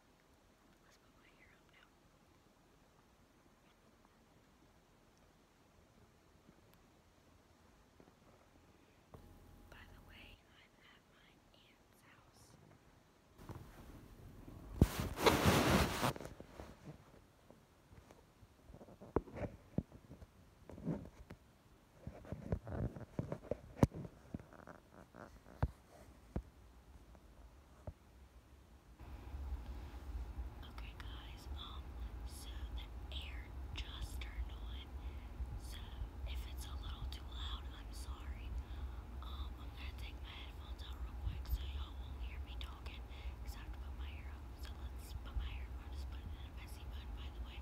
Let's put my hair up now. By the way, I'm at my aunt's house. Okay guys, um, so the air just turned on, so if it's a little too loud, I'm sorry. Um, I'm gonna take my headphones out real quick so y'all won't hear me talking, because I have to put my hair up. So let's put my hair up, I'll just put it in a messy bun by the way.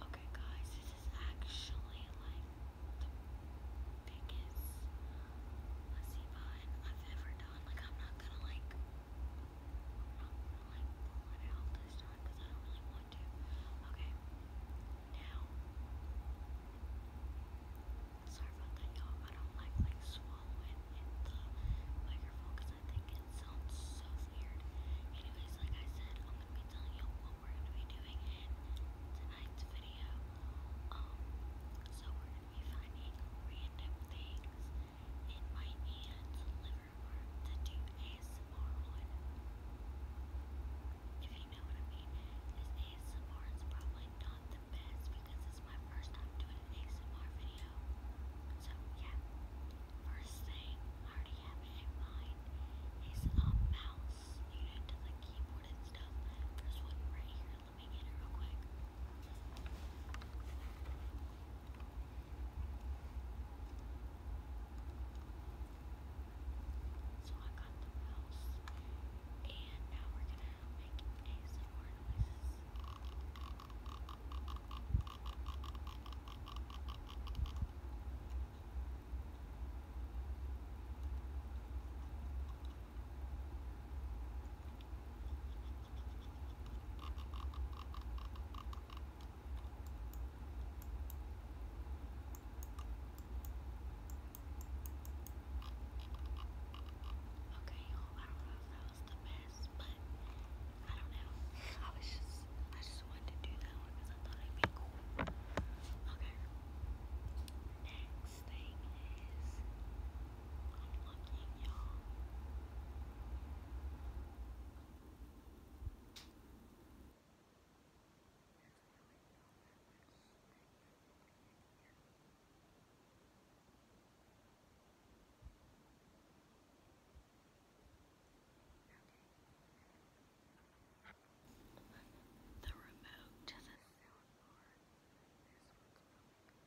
Okay, guys, this is actually like the biggest messy bun I've ever done. Like, I'm not gonna like, i this time because I don't really want want Okay. Now. Sorry about that, y'all. I don't like like swallowing in the microphone because I think it sounds so weird. Anyways, like I said, I'm gonna be telling you what we're gonna be doing in tonight's video. Um, so we're gonna be finding random things in my aunt's that ASMR If you know what I mean, this ASMR is probably not the best because it's my first time doing an ASMR video. So, yeah. First thing, I already have in mind, is a mouse unit to the keyboard and stuff. There's one right here. Let me get it real quick. So I got the mouse, and now we're gonna make ASMR noises. Now Okay, y'all, I don't know if that was the best, but I don't know. I was just, I just wanted to do that one because I thought it'd be cool. Okay. Next thing is, looking, y'all. The remote to the soundboard. This one's really good.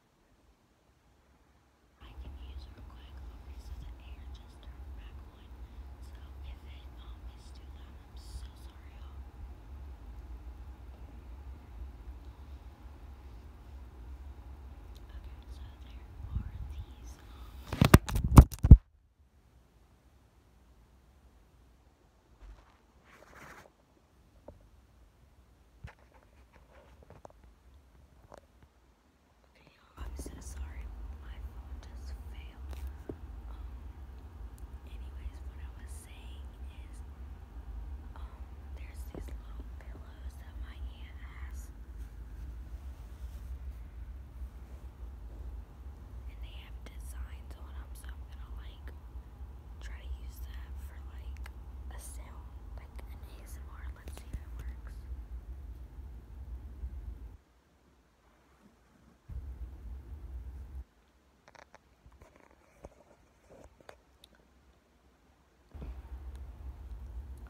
I can use real quick. Okay, so the air just turned back on. So if it um is too loud, I'm so sorry, y'all. Okay, so there are these um, Okay, I'm so sorry, my phone just failed. Um, anyways, what I was saying is, um, there's these little pillows that my aunt has, and they have designs on them, so I'm gonna like try to use that for like a sound like an ASMR. Let's see if it works.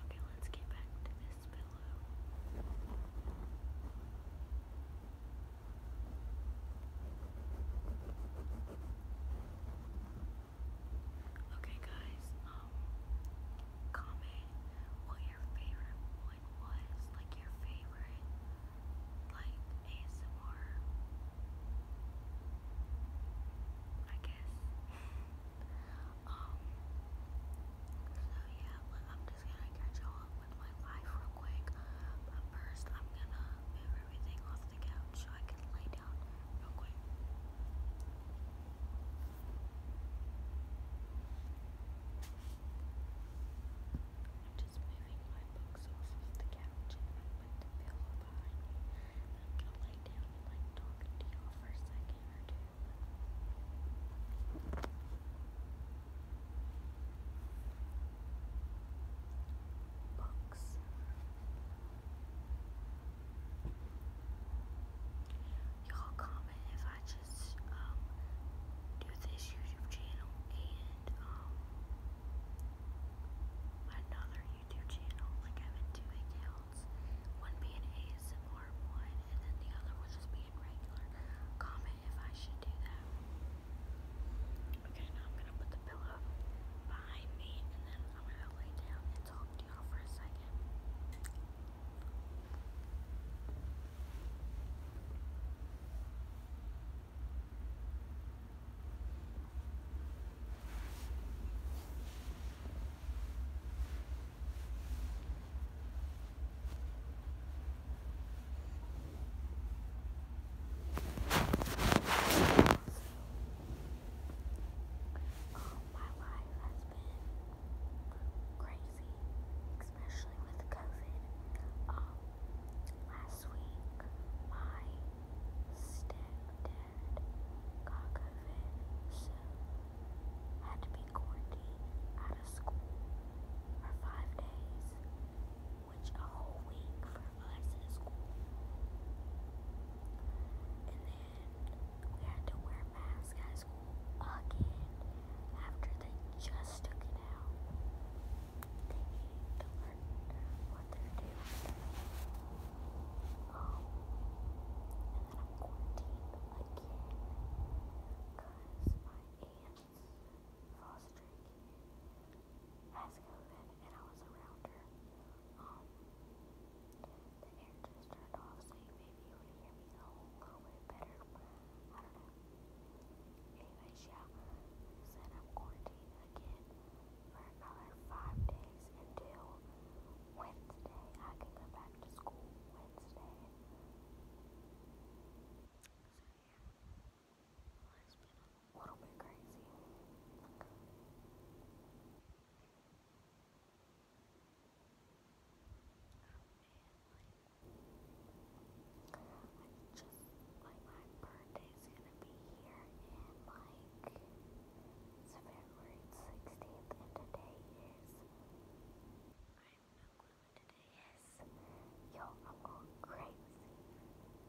Okay, let's get back to this pillow. Okay guys, um comment what your favorite one was, like your favorite like ASMR I guess. um so yeah, I'm just gonna catch you up with my life real quick. But first I'm gonna move everything off the couch so I can lay down just moving my books off of the couch and I put the pillow behind me. i lay down and like talk to y'all for a second or two. Books. Y'all comment if I just um, do this YouTube channel and um another YouTube channel. Like I have two accounts. One being ASMR one and then the other one just being regular. Comment if I should do that. Okay, now I'm gonna put the pillow behind me and then I'm gonna lay down and talk to y'all for a second. Um, my life has been crazy, especially with COVID. last week, my stepdad got COVID, so had to be quarantined out of school for five days which a whole week for us And then we had to wear masks at school again after they just took it out. They need to learn what they're doing. Um, and then I'm quarantined again because my aunt's foster Skeleton and I was around her. Um, the air just turned off, so you maybe you would hear me a whole little bit better. I don't know. Anyways, yeah, said I'm quarantined again for another five days until Wednesday. I can go back to school Wednesday. So yeah has been a little bit crazy. like, just, like, my birthday's gonna be here in, like, it's February 16th, and today is, I have no clue what today is. Yo, i crazy.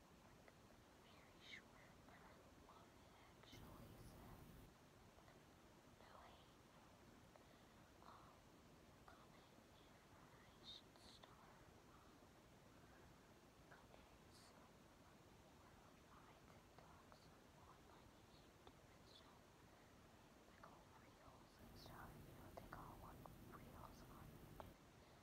very short and I love it actually, so no hate, um, comment if I should start um, cooking some more of my TikToks on my YouTube and stuff, like all reels and stuff, you know, they call one reels